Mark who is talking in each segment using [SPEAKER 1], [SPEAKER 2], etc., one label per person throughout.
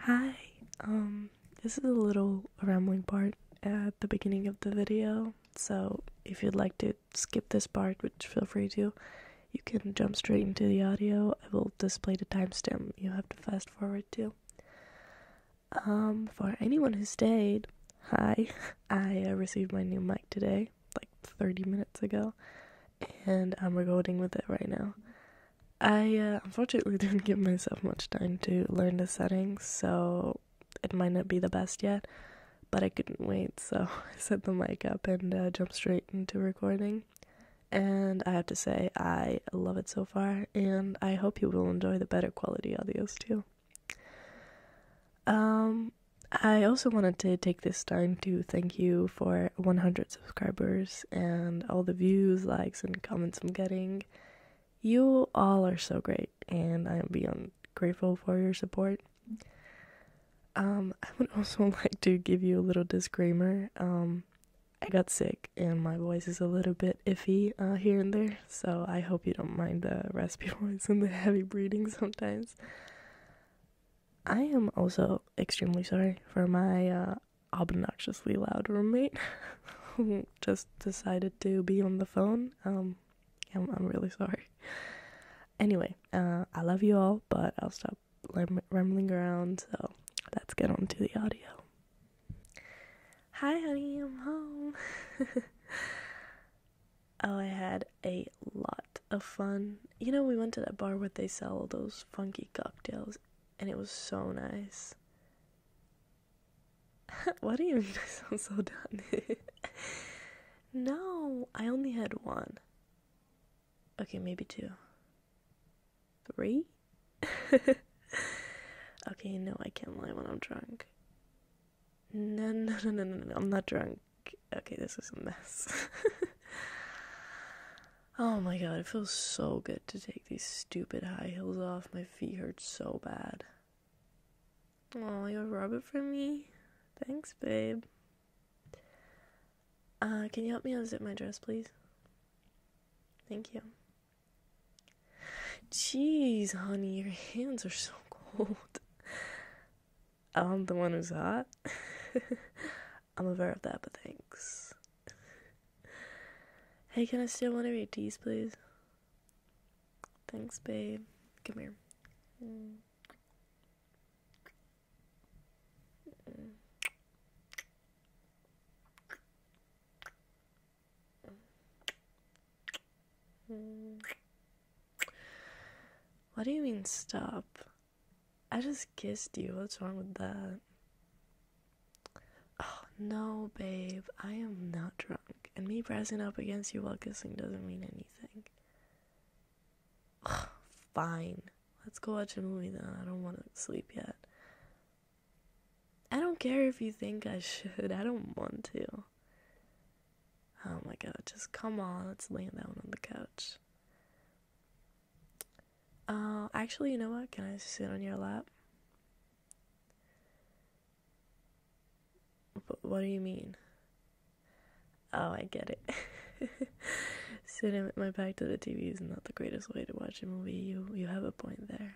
[SPEAKER 1] Hi, um, this is a little rambling part at the beginning of the video, so if you'd like to skip this part, which feel free to, you can jump straight into the audio. I will display the timestamp you have to fast forward to. Um, for anyone who stayed, hi, I uh, received my new mic today, like 30 minutes ago, and I'm recording with it right now. I uh, unfortunately didn't give myself much time to learn the settings, so it might not be the best yet, but I couldn't wait, so I set the mic up and uh, jump straight into recording. And I have to say, I love it so far, and I hope you will enjoy the better quality audios too. Um, I also wanted to take this time to thank you for 100 subscribers and all the views, likes, and comments I'm getting. You all are so great, and I am beyond grateful for your support. Um, I would also like to give you a little disclaimer. Um, I got sick, and my voice is a little bit iffy uh, here and there, so I hope you don't mind the raspy voice and the heavy breathing sometimes. I am also extremely sorry for my uh, obnoxiously loud roommate who just decided to be on the phone. Um, I'm, really sorry. Anyway, uh, I love you all, but I'll stop rambling around, so let's get on to the audio. Hi, honey, I'm home. oh, I had a lot of fun. You know, we went to that bar where they sell those funky cocktails, and it was so nice. What do you mean I sound so dumb? no, I only had one. Okay, maybe two. Three? okay, no, I can't lie when I'm drunk. No, no, no, no, no, no, I'm not drunk okay, this is a mess. oh my god, it feels so good to take these stupid high heels off. My feet hurt so bad. Oh, you are rub it for me? Thanks, babe. Uh, can you help me unzip my dress, please? Thank you. Jeez, honey, your hands are so cold. I'm the one who's hot. I'm aware of that, but thanks. hey, can I steal one of your teas, please? Thanks, babe. Come here. Mm. What do you mean stop? I just kissed you. What's wrong with that? Oh, no, babe. I am not drunk. And me pressing up against you while kissing doesn't mean anything. fine. Let's go watch a movie then. I don't want to sleep yet. I don't care if you think I should. I don't want to. Oh my god, just come on, let's lay down on the couch. Uh, actually, you know what? Can I sit on your lap? what do you mean? Oh, I get it. Sitting with my back to the TV is not the greatest way to watch a movie. You you have a point there.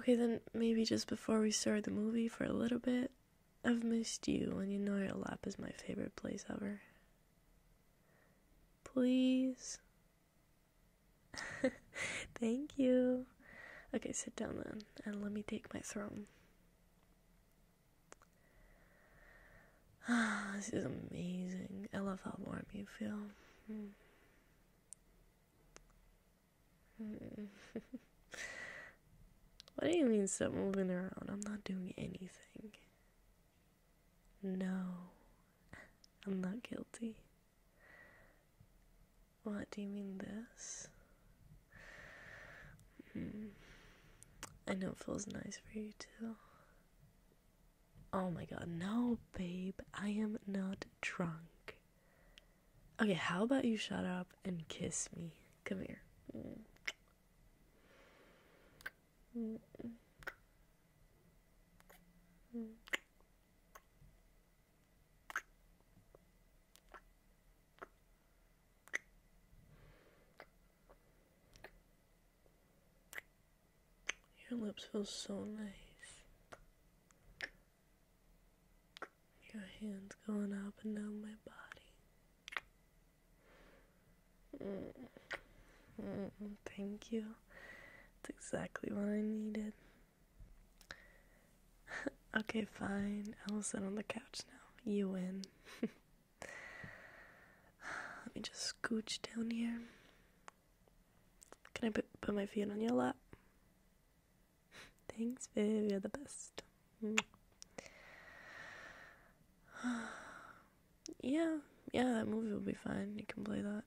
[SPEAKER 1] Okay, then maybe just before we start the movie for a little bit, I've missed you, and you know your lap is my favorite place ever. Please. Thank you. Okay, sit down then, and let me take my throne. this is amazing. I love how warm you feel. Hmm. Hmm. what do you mean stop moving around? I'm not doing anything. No, I'm not guilty. What do you mean this? Hmm. I know it feels nice for you too. Oh my god, no, babe, I am not drunk. Okay, how about you shut up and kiss me? Come here. Your lips feel so nice. Your hands going up and down my body. Mm-hmm. thank you. That's exactly what I needed. okay, fine. I will sit on the couch now. You win. Let me just scooch down here. Can I put, put my feet on your lap? Thanks, Viv. You're the best. Mm. yeah, yeah, that movie will be fine. You can play that.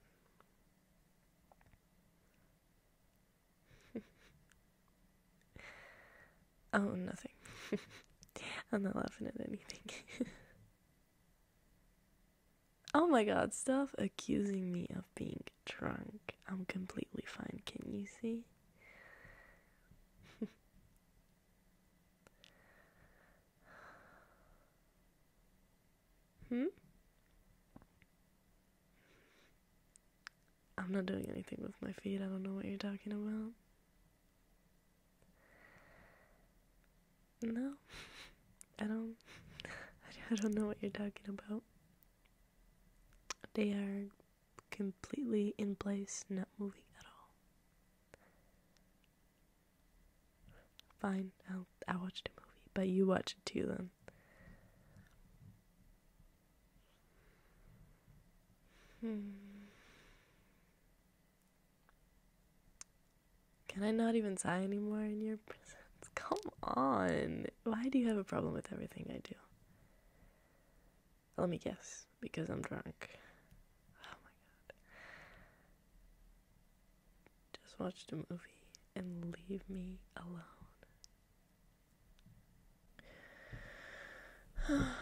[SPEAKER 1] oh, nothing. I'm not laughing at anything. Oh my god, stop accusing me of being drunk. I'm completely fine, can you see? hmm? I'm not doing anything with my feet, I don't know what you're talking about. No? I don't I don't know what you're talking about. They are completely in place, not moving at all. Fine, I'll I'll watch movie, but you watched it too then. Hmm. Can I not even sigh anymore in your presence? Come on. Why do you have a problem with everything I do? Let me guess, because I'm drunk. Oh my god. Just watched a movie and leave me alone.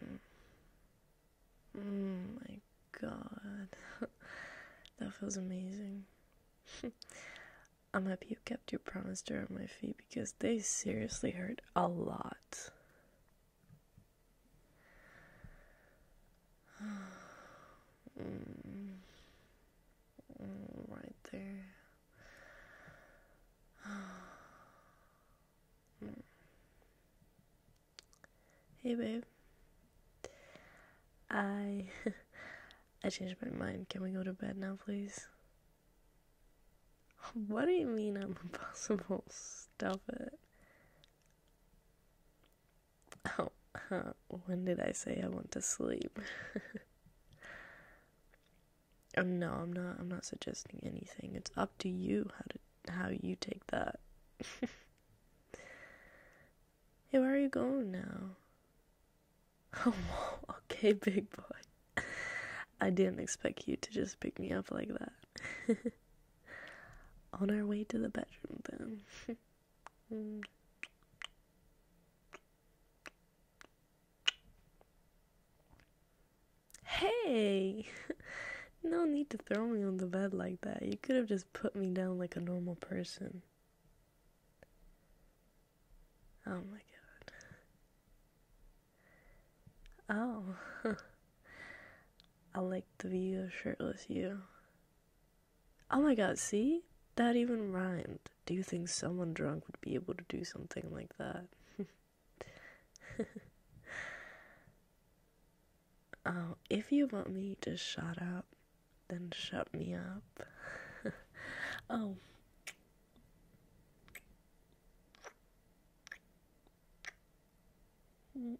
[SPEAKER 1] Hmm. Oh my god. that feels amazing. I'm happy you kept your promise to hurt my feet because they seriously hurt a lot. right there. Hmm. Hey babe. I I changed my mind. Can we go to bed now, please? What do you mean I'm impossible? Stop it. Oh, when did I say I want to sleep? Um, no, I'm not. I'm not suggesting anything. It's up to you how to how you take that. Hey, where are you going now? Oh, okay, big boy. I didn't expect you to just pick me up like that. On our way to the bedroom, then. hey! No need to throw me on the bed like that. You could have just put me down like a normal person. Oh my god. Oh. I like the view of shirtless you. Oh my god, see? That even rhymed. Do you think someone drunk would be able to do something like that? Oh, if you want me to shut up, then shut me up. oh.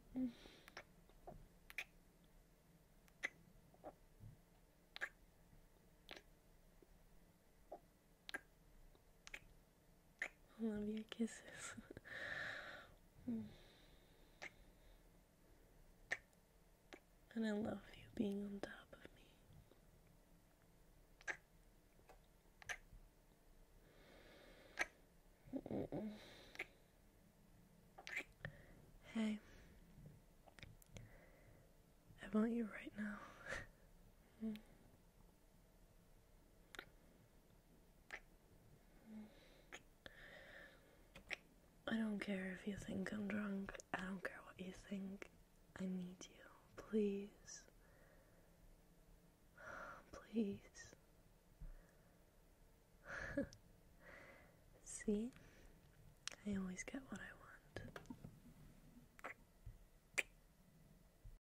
[SPEAKER 1] I love your kisses. and I love you being on top of me. Hey, I want you right now. Mm. I don't care if you think I'm drunk. I don't care what you think. I need you. Please. Please. See? I always get what I want.